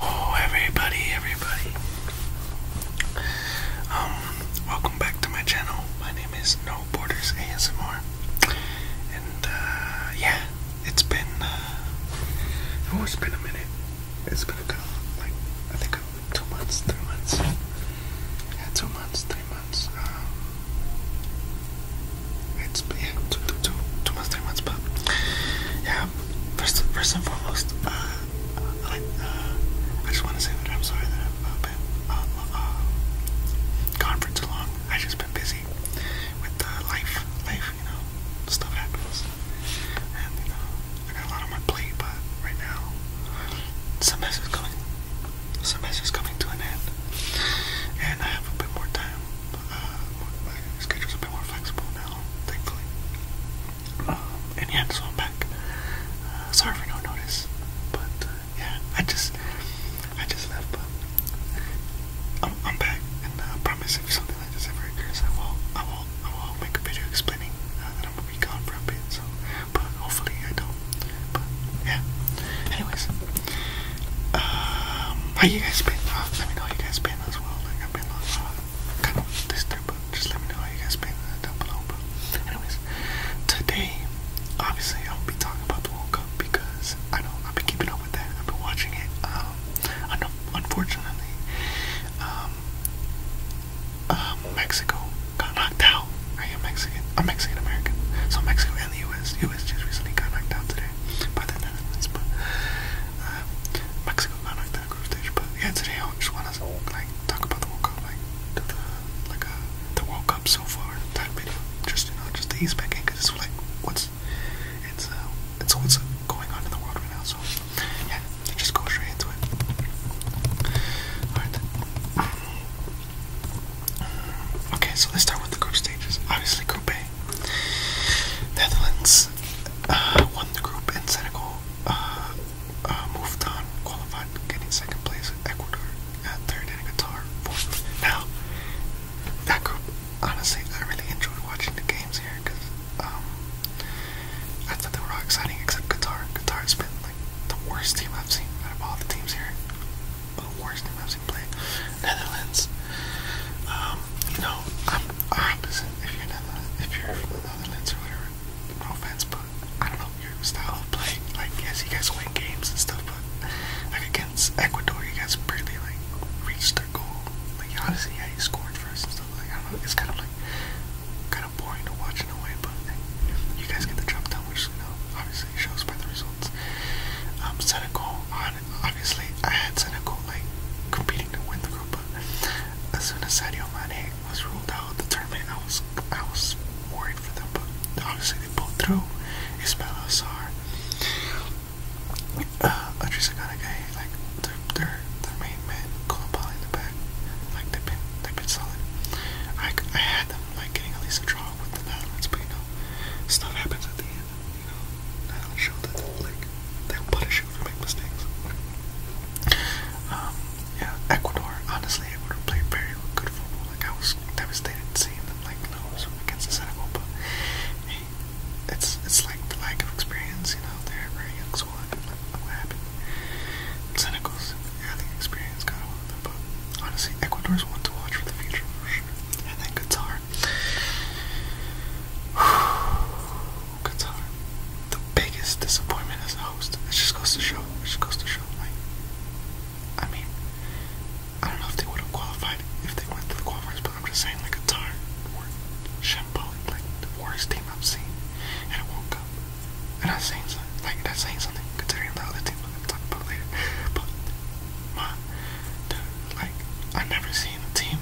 Oh everybody, everybody. Um, welcome back to my channel. My name is No Borders ASMR. And uh, yeah, it's been uh, oh it's been a minute. It's been a couple like I think two months, three months. Yeah, two months, three months. Um it's yeah, two, two, two, two months, three months, but yeah, first, first and foremost, uh, uh, I, just want to say that I'm sorry that I've uh, been um, gone for too long. I just been busy with life, life, you know, stuff happens, and you know, I got a lot on my plate. But right now, semester's coming, semester's coming to an end, and I have a bit more time uh, my schedule's a bit more flexible now, thankfully. Um, and yeah, so I'm back. Uh, sorry for no notice, but uh, yeah, I just, I just left, but I'm, I'm back, and I promise if something like this ever occurs, I will, I will, I will make a video explaining uh, that I'm gonna be gone for a bit. So, but hopefully I don't. But yeah. Anyways, um, how you guys been? let me know how you guys been as well kind of this but just let me know how you guys been uh, down below. But anyways, today, obviously, I'll be talking about the World Cup because I do I've been keeping up with that. I've been watching it. Um, unfortunately, um, uh, Mexico got knocked out. I am Mexican. I'm Mexican American. So Mexico and the U.S. U.S. just recently got knocked out today by the Netherlands. But uh, Mexico, not like that group stage, but yeah, today I just want to like talk about the World Cup, like the, like uh, the World Cup so far, just you know, just to ease back cause it's like what's it's uh, it's what's going on in the world right now, so yeah, just go straight into it. All right. Okay, so let's start with the group stages. Obviously, Group A, Netherlands, won the group, and Senegal uh, uh, moved on, qualified, getting second place. Ecuador at third, and Qatar fourth. Now, that group, honestly, I really enjoyed watching the games here because um, I thought they were exciting, except Qatar. Qatar's been like the worst team I've seen out of all the teams here. The worst team I've seen play. Netherlands. Um, you know, I'm opposite. If you're another, if you're another the or whatever, no offense, but I don't know your style of play. Like, yes, you guys win games and stuff, but like against Ecuador, you guys barely like reached their goal. Like, honestly, yeah, you scored first and stuff. Like, I don't know. It's kind of like kind of boring to watch in a way, but you guys get the job done, which you know obviously shows by the results. Um, a goal. Obviously, I had Senegal like competing to win the group, but as soon as Sadio Mane was ruled out of the tournament, I was I was worried for them. But obviously, they pulled through. Ismail Assar, uh, Adrisagana guy, like their their their main man, Koulibaly in the back, like they've been they've been solid. I I had them like getting at least a draw with the Netherlands, but you know, stuff happens at the end you know, that'll show that they'll, like, they'll punish you if you make mistakes. Um, yeah, Ecuador, honestly, Ecuador played very good football. Like, I was devastated seeing them, like, lose against the Senegal, but it's, it's like the lack of experience, you know, they're very young squad, and like, what happened? Senegal's early experience got a lot of them, but honestly, Ecuador's one to watch for the future, for sure. And then Qatar, Qatar. The biggest disappointment as a host. It just goes to show. It just goes to show. Like, I mean, I don't know if they would have qualified if they went to the qualifiers, but I'm just saying, like, Qatar were shambolic, like the worst team I've seen at a World Cup. And I'm saying something, like, that's saying something considering the other team I'm going to talk about later. But, my, like, I never a team,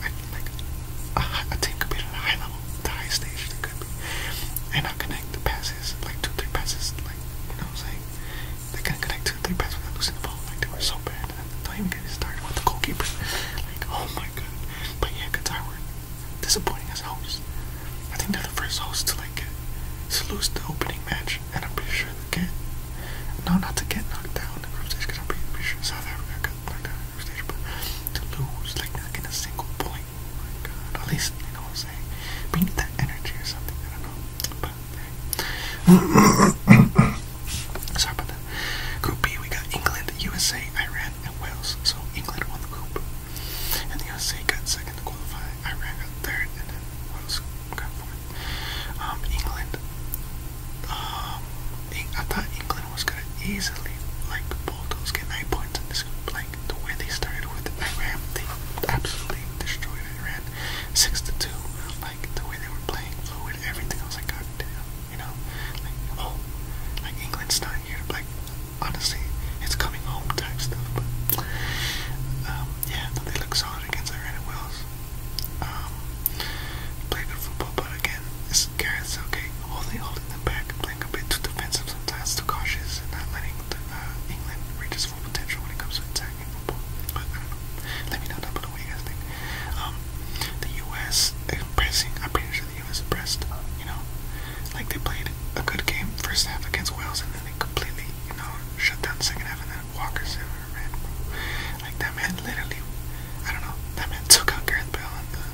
like a, team compete at a high level, the highest stage they could and not connect the passes, like two, three passes, like you know what I'm saying? They couldn't connect two, three passes without losing the ball. Like they were so bad. Don't even get me started with the goalkeeper. Like oh my god. But yeah, Qatar disappointing as hosts. I think they're the first hosts to like to lose the opening match and I'm pretty sure they kid, no, not to get knocked down in the group stage, because I'm pretty, pretty sure South Africa got knocked down in the group stage, but to lose, like, not get a single point, oh my god, at least, you know what I'm saying, we need that energy or something, I don't know, but, Sorry about that. Group B, we got England, USA, Iran, and Wales, so England won the group, and the USA got second to qualify, Iran got third, and then Wales got fourth. Um, England. Um, I thought England was gonna easily like pull those get nine points in this game, Like the way they started with Iran, they absolutely destroyed Iran, six to two. Like the way they were playing fluid, everything. I was like, God you know, like oh, like England's not here. Like honestly, it's coming home type stuff. But um, yeah, they look solid against Iran and Wales. Um, play good football, but again, it's Garrett's okay. Holding, holding them back, playing a bit too defensive sometimes, too cautious, and not letting the, uh, England reach its full potential when it comes to attacking football. But I don't know. Let me know down below what you guys think. Um, the U.S. pressing. I'm pretty sure the U.S. pressed. You know, like they played a good game first half against Wales, and then they completely, you know, shut down the second half, and then Walker Zimmer, man. Like that man literally, I don't know, that man took out Gareth Bell in the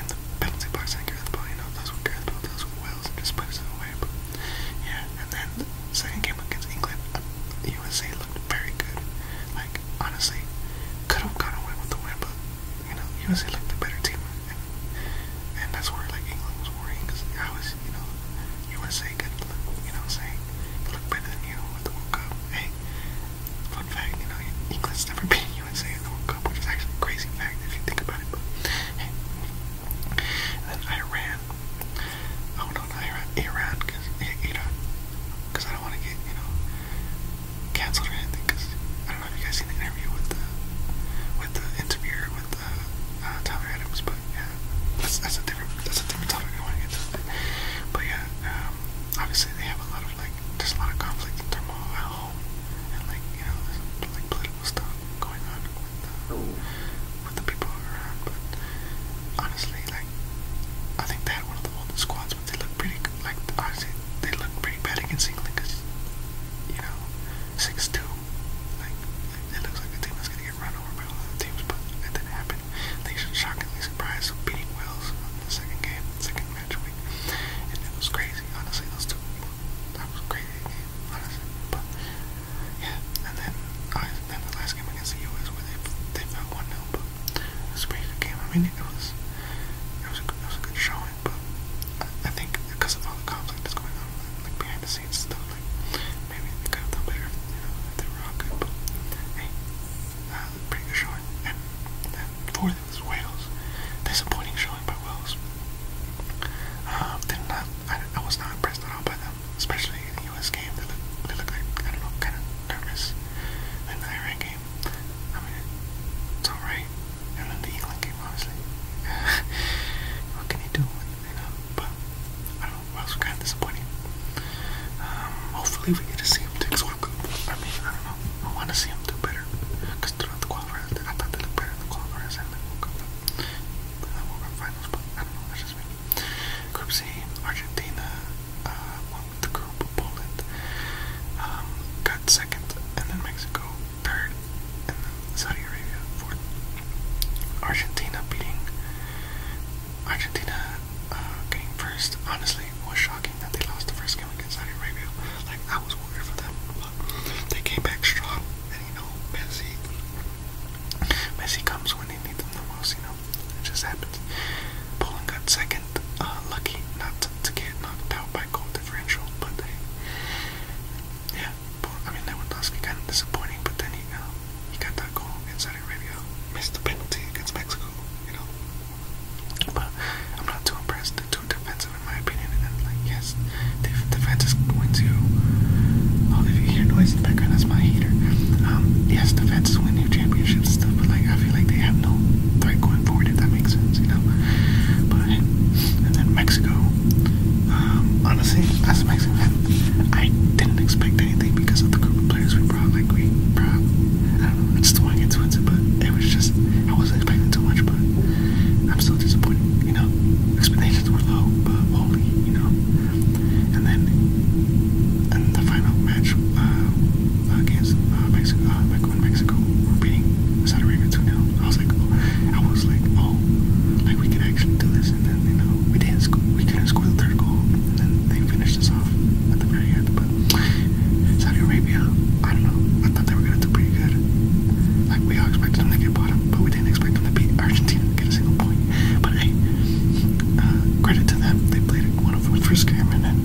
in the penalty box and Gareth Bell, you know, those were Gareth Bell, those were Wells and just put it away. But yeah, and then the second game against England, USA uh, looked very good. Like honestly, could have gone away with the win, but you know, USA looked the better team, and, and that's where like England was worrying because I was, you know, USA could look, you know what I'm saying, look better than you with the World Cup. Hey, fun fact, you know, England's never been USA in the World Cup, which is actually a crazy fact if you think about it, but hey. And then Iran. Oh no, not Iran, Iran, because Iran, because I don't want to get, you know, cancelled or anything, because I don't know if you guys seen the interview with the, with the interviewer, with uh, uh, Tommy Adams, but yeah, that's that's a different that's a different topic I want to get to. But, but yeah, um, obviously they have a lot of like there's a lot of conflict and turmoil at home, and like you know there's like political stuff going on with uh, oh. with the people around. But honestly, like I think they had one of the oldest squads, but they look pretty like honestly they look pretty bad against England because you know six two, like it looks like a team that's gonna get get run over by one of the teams, but it didn't happen. They should shockingly surprised beating Wales in the second game, second match week. And it was crazy, honestly, those two that was a crazy game, honestly. But yeah, and then I uh, then the last game against the US where they they fell one 0 but it was a pretty good game. I mean it was it was a good it was a good showing, but I, I think because of all the conflict that's going on like behind the scenes seen stuff like maybe they could have done better, you know, they were all good, but hey, pretty good showing. And fourth was Wales. Disappointing showing by Wales. did um, not, I, I was not impressed at all by them, especially in the US game. They look, they look like, I don't know, kind of nervous. And the Iran game, I mean, it's alright. And then the England game, obviously. what can you do? but I don't know, I was kind of disappointing. Um, hopefully we get to see him take score I mean, I don't know, I want to see him do better, because throughout the qualifiers, I thought they looked better in the qualifiers and then World Cup, but the finals, but I don't know, that's just me. Group C, Argentina, uh, won the group, Poland, um, got second, and then Mexico, third, and then Saudi Arabia, fourth. Argentina beating Argentina uh, first. Honestly, was shocking that they lost the first game against Saudi Arabia. Like I was worried for them, but they came back strong. And you know, Messi, Messi comes when they need them the most. You know, it just happens. Poland got second. Uh, lucky not to, get knocked out by goal differential, but they, I mean, Lewandowski kind of disappointing, but then he, uh, he got that goal in Saudi Arabia, missed the penalty against Mexico, you know. But I'm not too impressed. They're too defensive, in my opinion. And then, like, yes, the defense is going to. Oh, if you hear noise in the background, that's my heater. Um, yes, defense win new championships and stuff, but like, I feel like they have no threat going forward, if that makes sense, you know. But and then Mexico um, honestly, as a Mexican I didn't expect anything because of the group of players we brought. Like we brought, I don't know, it's the one gets into it, but it was just I wasn't expecting too much. But I'm still disappointed. You know, expectations were low, but holy, you know. And then, and the final match uh, against Mexico, uh, Mexico, uh, like when a were beating Saudi 2 0 I was like, oh, I was like, oh, like we can actually do this then you know we didn't sc we couldn't score the third goal, and then they finished us off at the very end. But Saudi Arabia, I don't know. I thought they were gonna do pretty good. Like we all expected them to get bottom, but we didn't expect them to beat Argentina and get a single point. But hey, uh, credit to them. They played one of the first game and then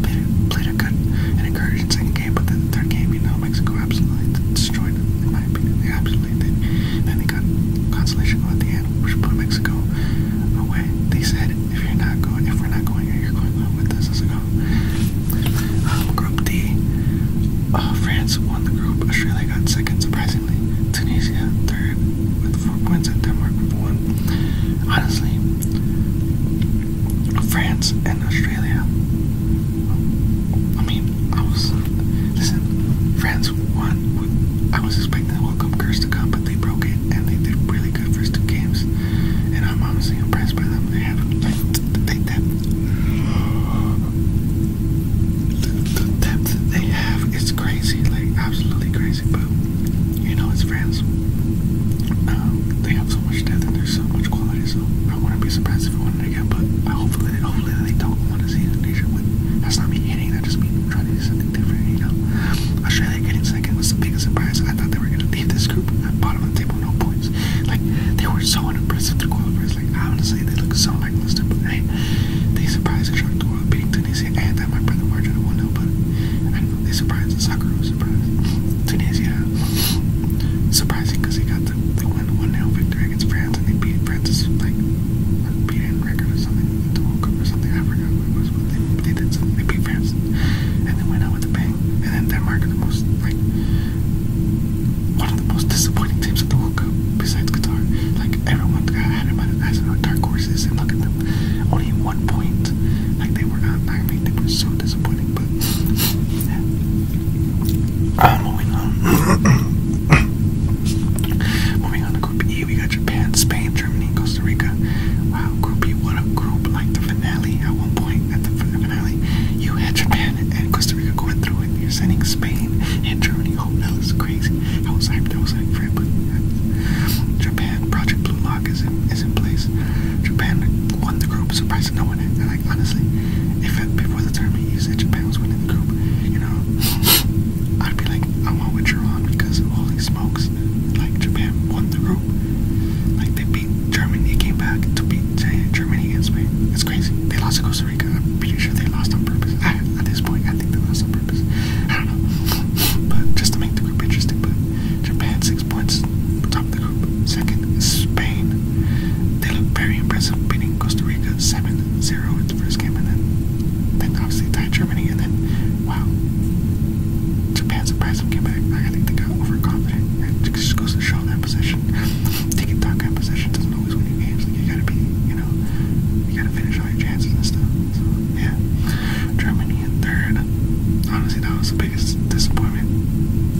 played a, played a good and encouraging second game. But then the third game, you know, Mexico absolutely destroyed them. They absolutely did. Then they got consolation goal at the end, which put Mexico away. They said, if you're not going, if we're not going you're going home with this. I was like, oh. um, group D. Uh, France won the group. Australia got second, surprisingly. Tunisia third with four points, and Denmark with one. Honestly, France and Australia. I mean, I was listen, France won. I was expecting the welcome curse to come, but they broke it and they did really good first two games. And I'm honestly impressed by them. They have the depth, the depth they have its crazy, like absolutely crazy. But you know, it's France. Um, they have so much depth and there's so much quality. So I wouldn't be surprised if it won but hopefully, hopefully they don't want to see Indonesia win. That's not me hating, that just me trying to do something different, you know? Australia getting second was the biggest surprise. I thought they were going to leave this group at bottom of the table, no points. Like, they were so unimpressive to qualifiers. Like, honestly, they look so lackluster, but hey, they surprised the Shark World beating Tunisia and that my brother margin of 1 but they surprised the soccer was surprised. Tunisia, surprising because they got the, they won the 1 nil victory back against France, and they beat France like unbeaten record or something, the World Cup or something. I forgot what it was, but they, they did something. They beat France, and then went out with a bang. And then Denmark are the most like one of the most disappointing teams at the World Cup besides Qatar. Like everyone got had them as dark horses, and look at them, only one point. Like they were not. I mean, they were so disappointing, but. Yeah. Ah, moving on. moving on to Group E, we got Japan, Spain, Germany, Costa Rica. Wow, Group E, what a group! Like the finale at one point at the finale, you had Japan and Costa Rica going through and You're sending Spain and Germany. Oh, that it's crazy. I was hyped. I was hyped for it, but Japan Project Blue Lock is in is in place. Japan won the group surprise surprised no one. And like honestly, if before the tournament usage Japan was winning the group, you know, I'd be like, I want what you because holy smokes, like Japan won the group. Like they beat Germany, they came back to beat Germany and Spain. It's crazy. They lost to Costa Rica. I'm pretty sure they lost on purpose. at this point, I think they lost on purpose. I don't know, but just to make the group interesting. Japan six points. Second Spain. They look very impressive, beating Costa Rica 7-0 in the first game, and then, then obviously tied Germany, and then, wow, Japan surprised them, came back. I think they got overconfident. It just goes to show that possession. Taking talk at possession doesn't always win you games. Like, you gotta be, you know, you gotta finish all your chances and stuff. So, yeah. Germany in third. Honestly, that was the biggest disappointment.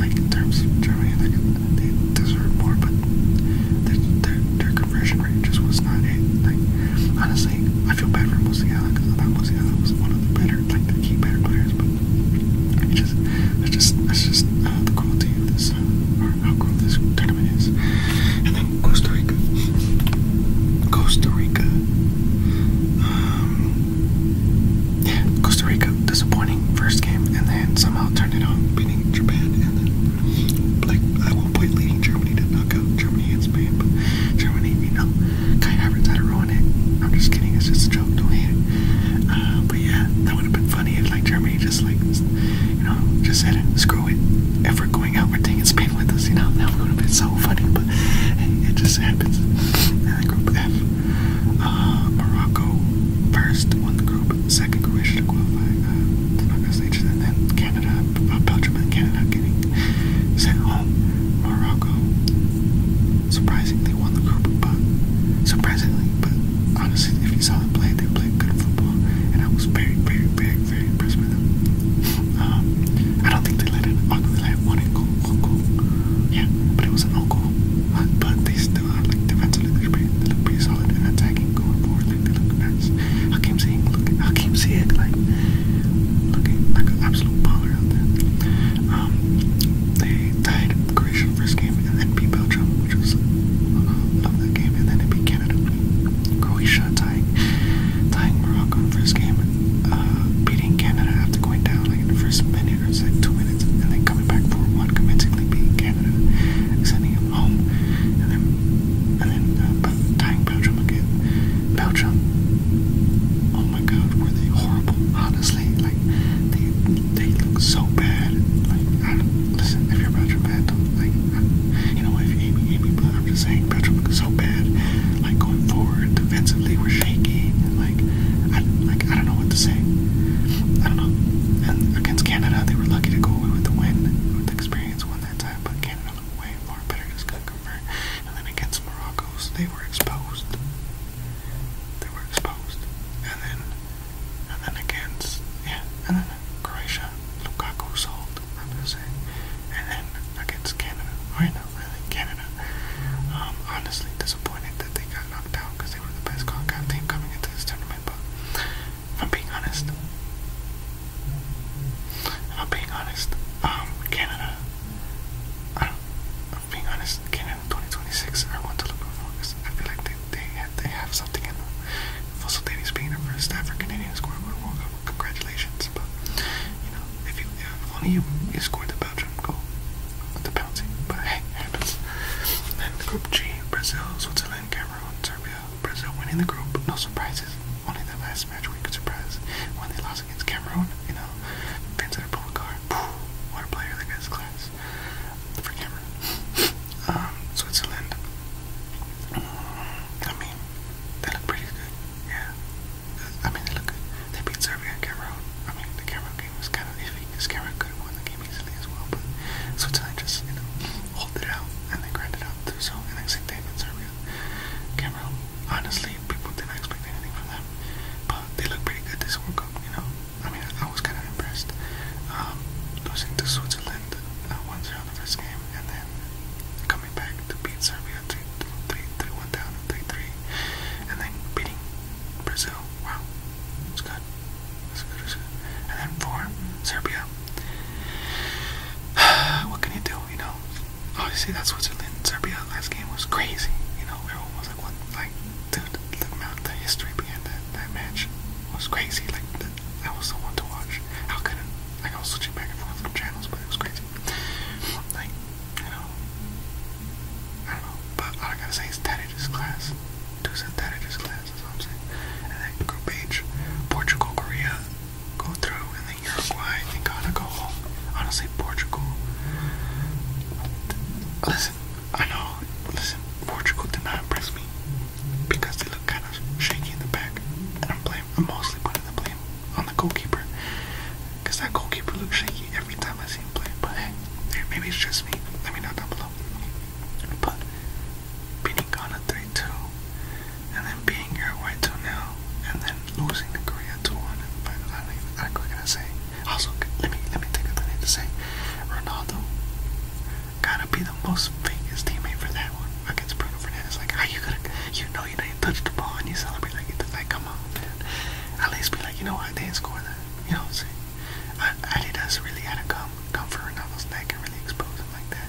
Like, in terms of Germany, they deserve more, but their, their, conversion rate just was not it. Like, honestly, I feel bad for Musiala because I thought Musiala was one of the better, like, the key better players, but it just, it's just, it's just uh, the quality of this, uh, or how cool this tournament is. And then Costa Rica. Costa Rica. Um, Costa Rica, disappointing first game, and then somehow turned it on, beating Japan, and then like at one point leading Germany to knock out Germany and Spain, but Germany, you know, Kai Havertz had to ruin it. I'm just kidding, it's just a joke, don't hate it. Uh, but yeah, that would have been funny if like Germany just like, you know, just said it, screw it. If we're going out, we're taking Spain with us, you know, that would have been so funny, but it just happens. And group F. Uh, Morocco first won the group, second Croatia uh, to qualify. I'm not gonna say and then Canada, uh, Belgium and Canada getting sent home. Morocco surprisingly won the group, but surprisingly, but honestly, if you saw them play, they played good football, and I was very, very, very, very impressed with them. Um, I don't think they let in. Oh, they let one in goal, one goal. Yeah, but it was an own goal. But they I keep seeing, I keep seeing like looking like an absolute power out there. Um, they tied Croatia first game and then beat Belgium, which was uh, love that game, and then it beat Canada. Croatia tying, tying Morocco in first game, uh, beating Canada after going down like in the first minute later, said two minutes, and then coming back for what convincingly beat Canada, sending him home, and then and then uh, tying Belgium again. Belgium, oh my God, were they horrible? Honestly, like they they look so bad. Like I don't, listen, if you're Belgium bad, don't, like I, you know if you hate me, hate me, but I'm just saying Belgium looks so bad. Like going forward, defensively we're shaky. Like, like, I, don't know what to say. I don't know. against Canada, they were lucky to go away with the win, with the experience won that time. But Canada looked way far better, just couldn't convert. And then against Morocco, they were exposed. They were exposed. And then, and then against yeah, and then Croatia, Lukaku sold. I'm going saying. And then against Canada, right now, Canada. Um, honestly disappointed that they got knocked out because they were the best Concacaf team coming into this tournament. But I'm being honest, I'm being honest, um, Canada, I am being honest, Canada 2026 are one to look for because I feel like they they have, they have something in them. Fossildady's being the first ever Canadian scorer with World Cup, congratulations. But you know, if you if only you, you scored the Belgium goal, the penalty, but hey, happens. Then Group G, Brazil, Switzerland, Cameroon, Serbia. Brazil winning the group, no surprises. Only the last match we could surprise when they lost against Cameroon, you know. Vincent Pogacar, what a player, that guy's class. For Cameroon. Um, Switzerland. Mm, I mean, they look pretty good, yeah. I mean, they look good. They beat Serbia and Cameroon. I mean, the Cameroon game was kind of iffy because Cameroon could have won the game easily as well, but Switzerland just, you know, holed it out and they grind it out too. So, and then same thing with Serbia. Cameroon, honestly, people didn't expect anything from them, but they look pretty good this World Cup, you know. I mean, I, I was kind of impressed. Um, losing to Switzerland 1-0 uh, the first game and then coming back to beat Serbia 3-1 down 3-3 and then beating Brazil. Wow. That's good. That's good. That's good. And then for Serbia. what can you do, you know? oh, you see, that Switzerland. Serbia last game was crazy. You know, everyone was like, what? Like, dude, the amount, the history behind that, that match was crazy. Like, that was the one to watch. How could it? Like, I was switching back and forth from channels, but it was crazy. Like, you know, I don't know, but all I gotta say is Tadidis class, two said Tadidis class, that's what I'm saying, and then group H, Portugal, Korea, go through, and then Uruguay and Ghana go home, honestly, Portugal, listen, I know, listen, Portugal did not impress me, because they look kind of shaky in the back, and I'm, blaming. I'm mostly putting the blame on the goalkeeper, because that goalkeeper looks shaky, every time I see him play. But hey, maybe it's just me. Let me know down below. But beating Ghana 3-2, and then beating Uruguay 2-0, and then losing to Korea 2-1. But I don't even, I, say? Also, let me let me think of need to say. Ronaldo gotta be the most fakest teammate for that one against Bruno Fernandes. Like, how you gonna, you know, you know, you touched the ball and you celebrate like you come on, man at least be like, you know what, they didn't score that. You know what I'm saying? I, Adidas really had to come, come for Ronaldo's neck and really expose him like that.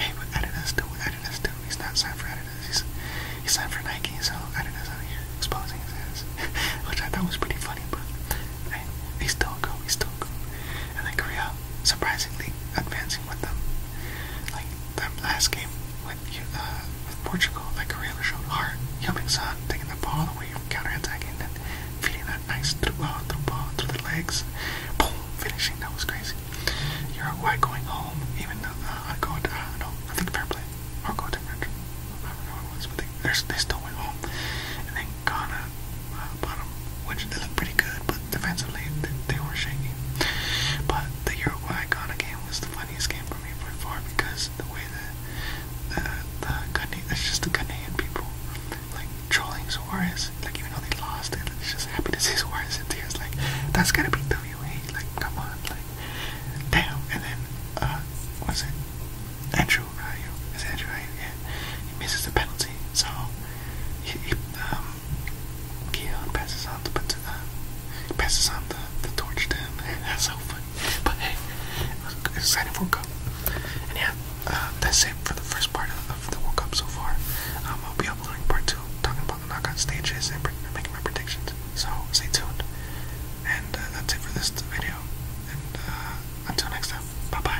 Hey, but Adidas do what Adidas do. He's not signed for Adidas. He's, he's signed for Nike, so Adidas exposing his ass. Which I thought was pretty funny, but hey, he's still go, he's still go. And then Korea, surprisingly, advancing with them. Like, that last game, with, uh, with Portugal, like Correa showed heart, helping Son taking the ball away from counter-attacking and feeding that nice through ball, uh, through ball, through the legs, boom, finishing. That was crazy. Uruguay going home, even though uh, I go to, uh, no, I think fair play, I go to French. I don't know what it was, but they, they still went home. And then Ghana, uh, bottom, which they looked pretty good, but defensively they, they were shaky. But the Uruguay Ghana game was the funniest game from 8.4 because the way the, the, the Ghanaian, it's just the Ghanaian people, like, trolling Suarez, like, even though they lost, and it's just happy to see Suarez in tears, like, that's gotta be WA, like, come on, like, damn, and then, uh, what's it, Andrew Ryu, is Andrew Ryu, yeah, he misses the penalty, so, he, he um, Keon passes on, the, but, uh, passes on the the torch to That's so funny. But hey, it was exciting for Cup. And yeah, uh, that's it for the first part of, the World Cup so far. Um, I'll be uploading part two, talking about the knockout stages and making my predictions. So stay tuned. And uh, that's it for this video. And uh, until next time, bye bye.